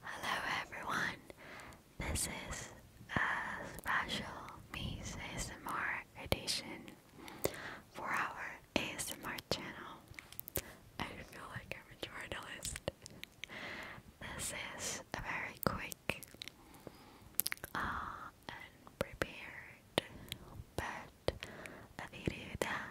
Hello everyone, this is a special Mies ASMR edition for our ASMR channel. I feel like I'm a journalist. This is a very quick uh, and prepared but a video that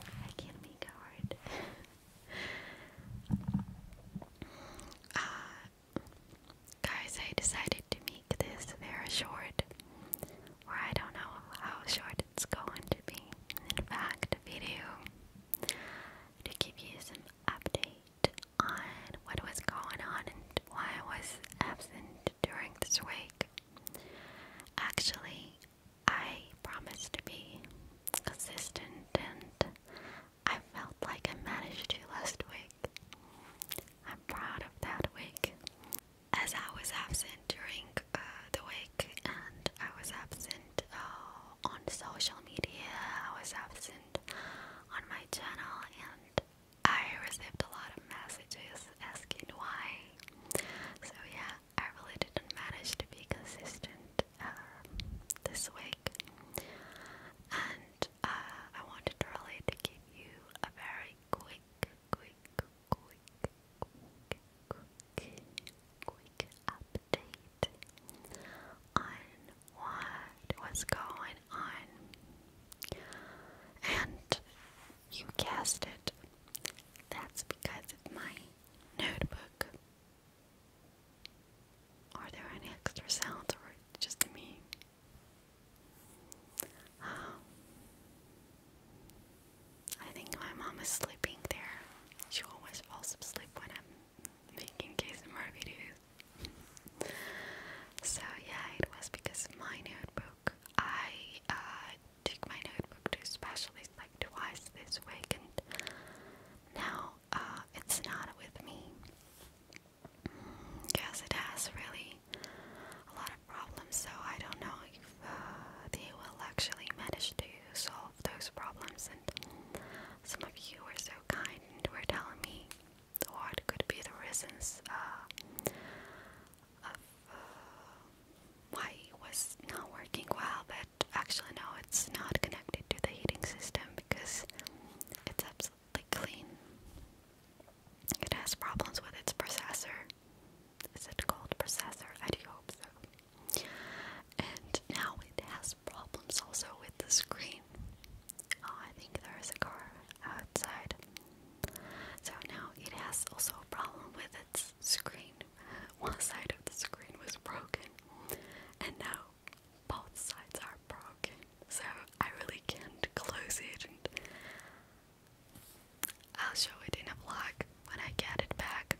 I can't make it uh, guys, I decided to make this very short, or I don't know how short it's going to be. In fact, video to give you some update on what was going on and why I was absent during this week. Actually, I promised to be consistent and I felt like I managed to last week. I'm proud of that week. As I was absent during uh, the week and I was absent uh, on social media, I was absent on my channel and I received a lot of messages asking why. So yeah, I really didn't manage to be consistent um, this week, and uh, I wanted really to give you a very quick, quick, quick, quick, quick, quick update on what was going on, and you cast it. That's because of my notebook. Are there any extra sounds or just me? Um, I think my mom is sleeping there. She always falls asleep when I'm making KSMR videos. so yeah, it was because my notebook. I uh, take my notebook to specialists like twice this week, and now uh, it's not with me. Yes, mm, it has really a lot of problems, so I don't know if uh, they will actually manage to solve those problems. And some of you were so kind and were telling me what could be the reasons uh, why it was not working well, but actually no, it's not connected to the heating system because it's absolutely clean. It has problems with its processor. Is it called processor? I hope so. And now it has problems also with the screen. Oh, I think there is a car outside. So now it has also a problem with its screen. One side of the screen was broken, and now both sides are broken. So I really can't close it. And I'll show it in a vlog when I get it back.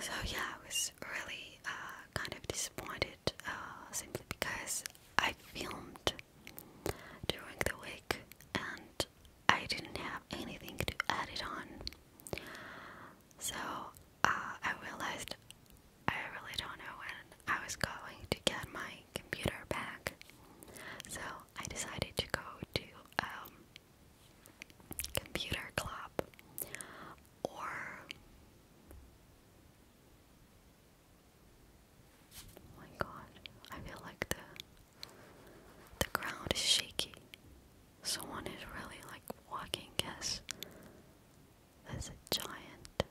So yeah, I was really uh, kind of disappointed uh, simply because I filmed during the week, and I didn't have anything to edit on. So uh, I realized I really don't know when I was going to get my computer back. So I decided to go to um, computer club or Oh my god, I feel like the the ground is shaky. Someone is really like walking guess. That's a giant.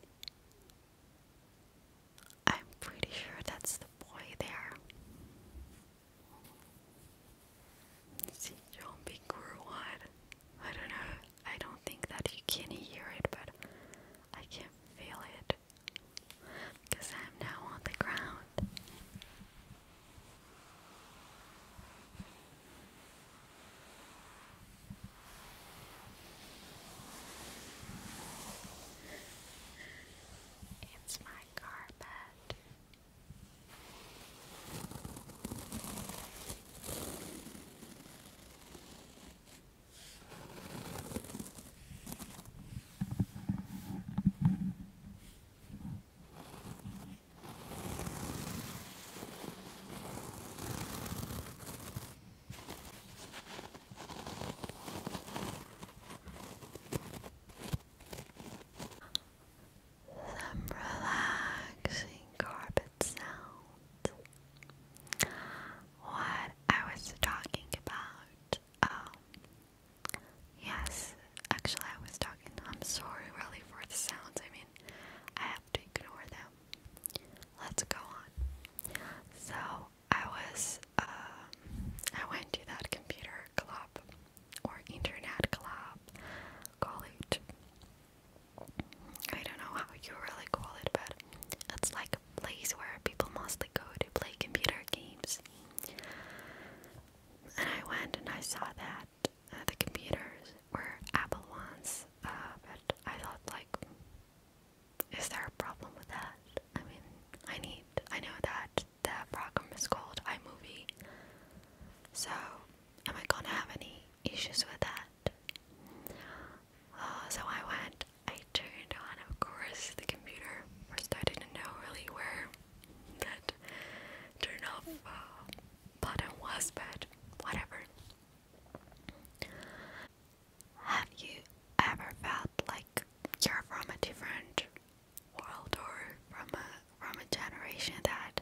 I'm pretty sure that's the boy there. See, John B. Grewad. I don't know. I don't think that you can hear it, but I can feel it because I'm now on the ground. It's my carpet. Some relaxing carpet that What I was talking about. Um, yes, actually, I was talking. I'm sorry, really, for the sounds. I mean, I have to ignore them. Let's go on. So, I was, uh, I went to that computer club or internet club college I don't know how you really call it, but it's like a place where people mostly go to play computer games. And I went and I saw that uh, the computers were Apple ones, uh, but I thought, like, is there a problem with that? I mean, I need, I know that that program is called iMovie, so am I gonna have any issues with that. Uh, so I went, I turned on, of course, the computer. First, I didn't know really where that turn off uh, button was, but whatever. Have you ever felt like you're from a different world or from a from a generation that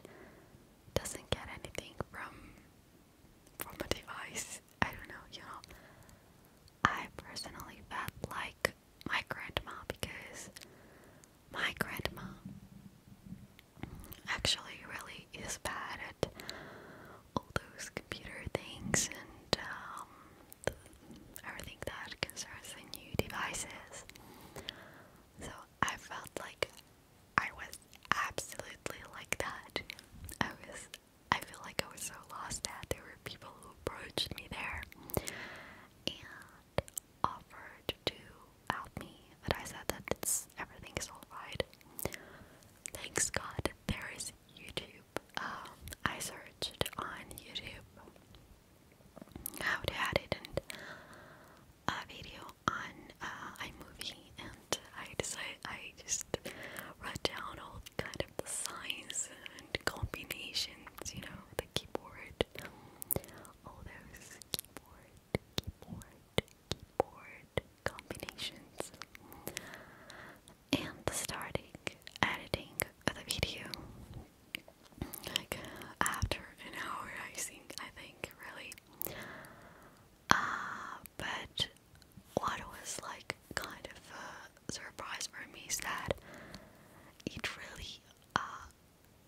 doesn't get anything from from a device. I don't know, you know. I personally felt like my grandma because my grandma actually really is bad at all those computer things and um, the, everything that concerns the new devices. So I felt like I was absolutely like that. I was I feel like I was so lost that there were people who approached me there and offered to help me, but I said that it's everything is alright. Thanks God there is YouTube. Um, I searched on YouTube how to edit and a video on uh, iMovie, and I decided I just write down all kind of the signs and combinations, you know, the keyboard, all those keyboard, keyboard, keyboard combinations, and starting editing the video. Like after an hour, I think I think really uh, but what was like kind of a surprise for me is that it really, uh,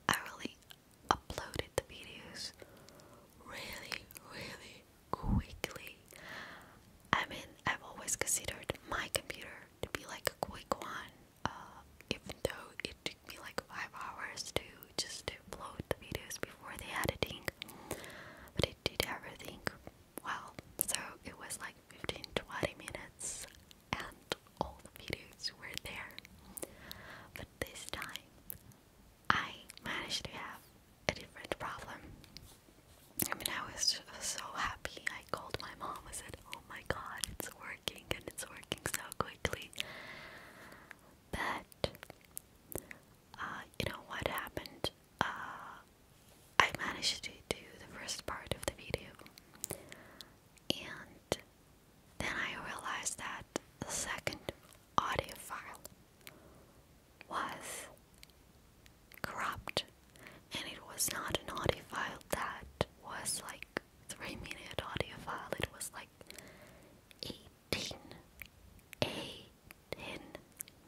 I really uploaded the videos really, really quickly. I mean, I've always considered my computer to be like a quick one, uh, even though it me like five hours to just to upload the videos before the editing. But I did everything well. So it was like 15 minutes and all the videos were there. But this time I managed to have a different problem. I mean I was so happy. I called my mom and said, Oh my god, it's working and it's working so quickly that uh, you know what happened. Uh, I managed to do the first part of the video, and then I realized that the second audio file was corrupt, and it was not an audio file that was like three minute audio file, it was like 18, 18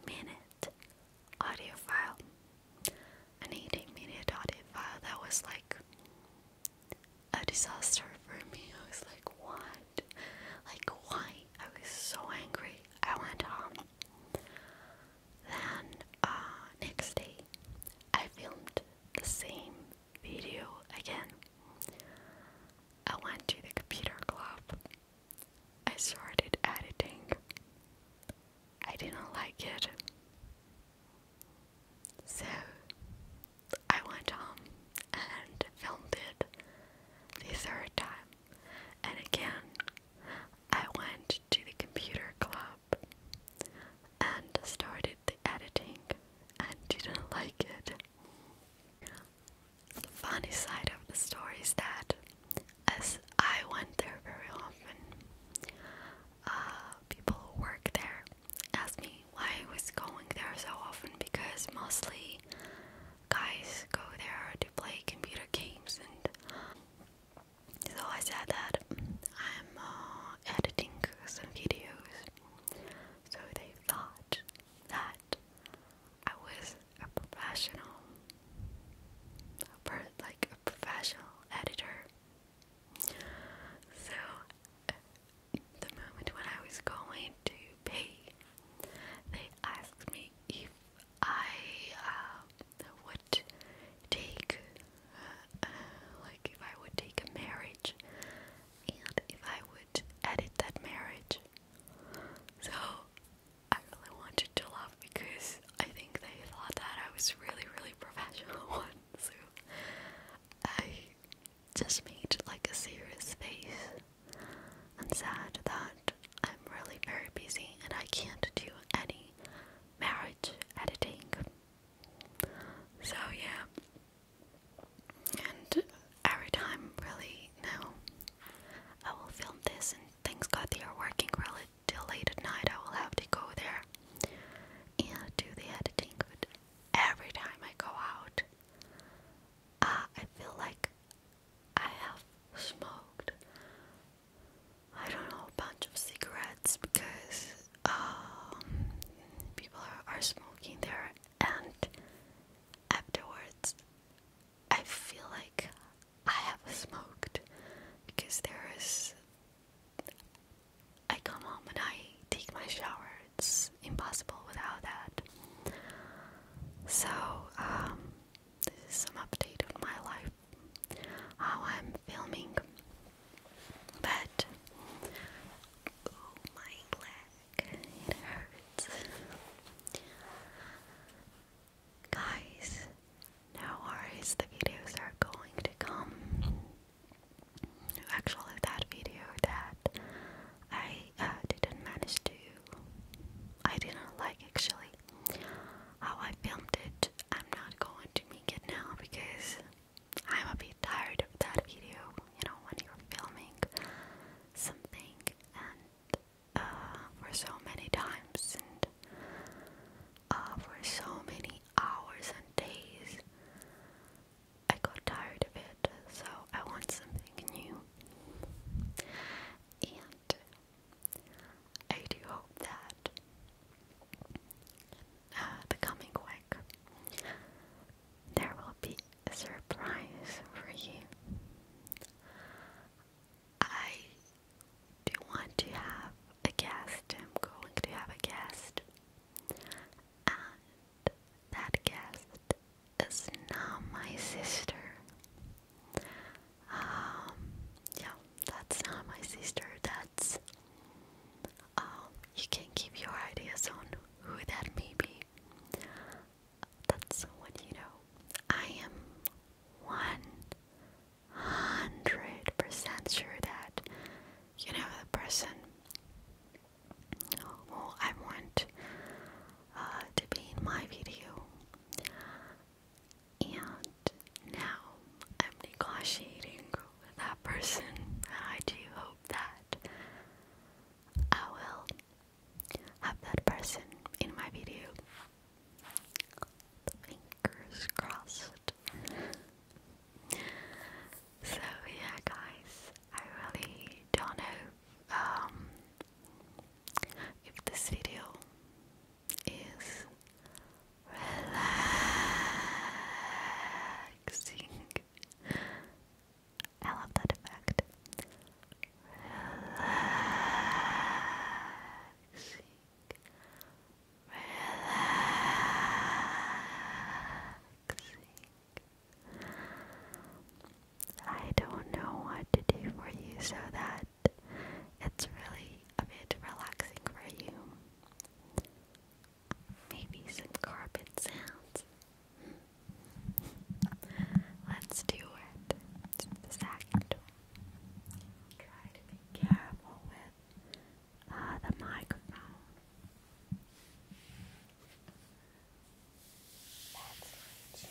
minute audio file. An 18 minute audio file that was like a disaster for me. I was like, what? Like, why? I was so angry. I went home. Then, uh, next day, I filmed the same video again. I went to the computer club. I started editing. I didn't like it. So I went home and filmed it the third time. And again, I went to the computer club and started the editing and didn't like it. The funny side of the story is that as I went there very often, uh, people who work there asked me why I was going there so often because mostly guys go there to play computer games and so I said that I'm uh, editing some videos so they thought that I was a professional, like a professional editor. So the moment when I was going to pay, they asked me if I uh, would take like if I would take a marriage and if I would edit that marriage. So I really wanted to laugh because I think they thought that I was really, really professional one. So I just made like a serious face and said that I'm really very busy and I can't do any marriage editing. So, yeah. And every time, really, now I will film this, and thanks God they are working really till late at night. I will have to go there and do the editing. But every time I go out, uh, I feel like I have smoked. I don't know, a bunch of cigarettes because um, people are, are smoking there, and afterwards, I feel like I have smoked because there is. I come home and I take my shower. It's impossible without that. So, um, some update on my life. How I'm filming. But oh my leg, it hurts. Guys, no worries, the videos are going to come. Actually, that video that I uh, didn't manage to, I didn't like actually how I filmed it. I'm not going to make it now because I'm a bit tired of that video, you know, when you're filming something and uh, for so many times and uh, for so many hours and days, I got tired of it, so I want something new. And I do hope that uh, becoming quick, there will be a surprise for you. I do want to have a guest. I'm going to have a guest, and that guest is now my sister. Um, yeah, that's not my sister. That's um, you can keep your ideas on who that may be. That's what you know. I am one hundred percent sure that you know the person who I want uh, to be in my video. And now I'm negotiating with that person, I do hope that I will have that person in my video. Fingers crossed. so, yeah, guys, I really don't know um, if this video is relaxing. I love that effect. Relaxing. Relaxing. I don't know what to do for you so that it's really a bit relaxing for you. Maybe some carpet sounds. Let's do it. second Try to be careful with uh, the microphone. That's my cheese.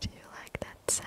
Do you like that sound?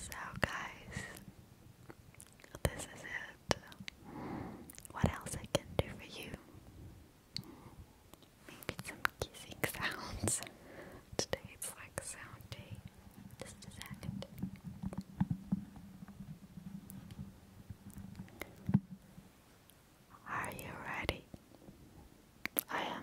So, guys, this is it. What else I can do for you? Maybe some kissing sounds. Today it's like sound day. Just a second. Are you ready? I am.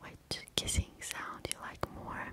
which kissing sound you like more?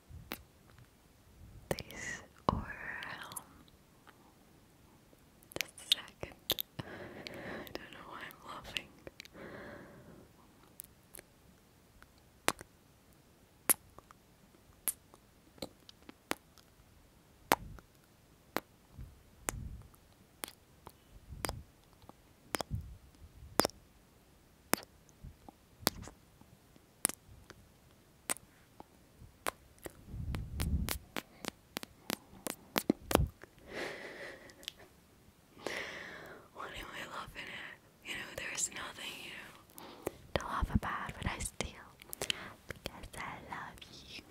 this or um, second. I don't know why I'm laughing. What am I laughing at? You know, there's nothing, you know, to laugh about, but I still, because I love you.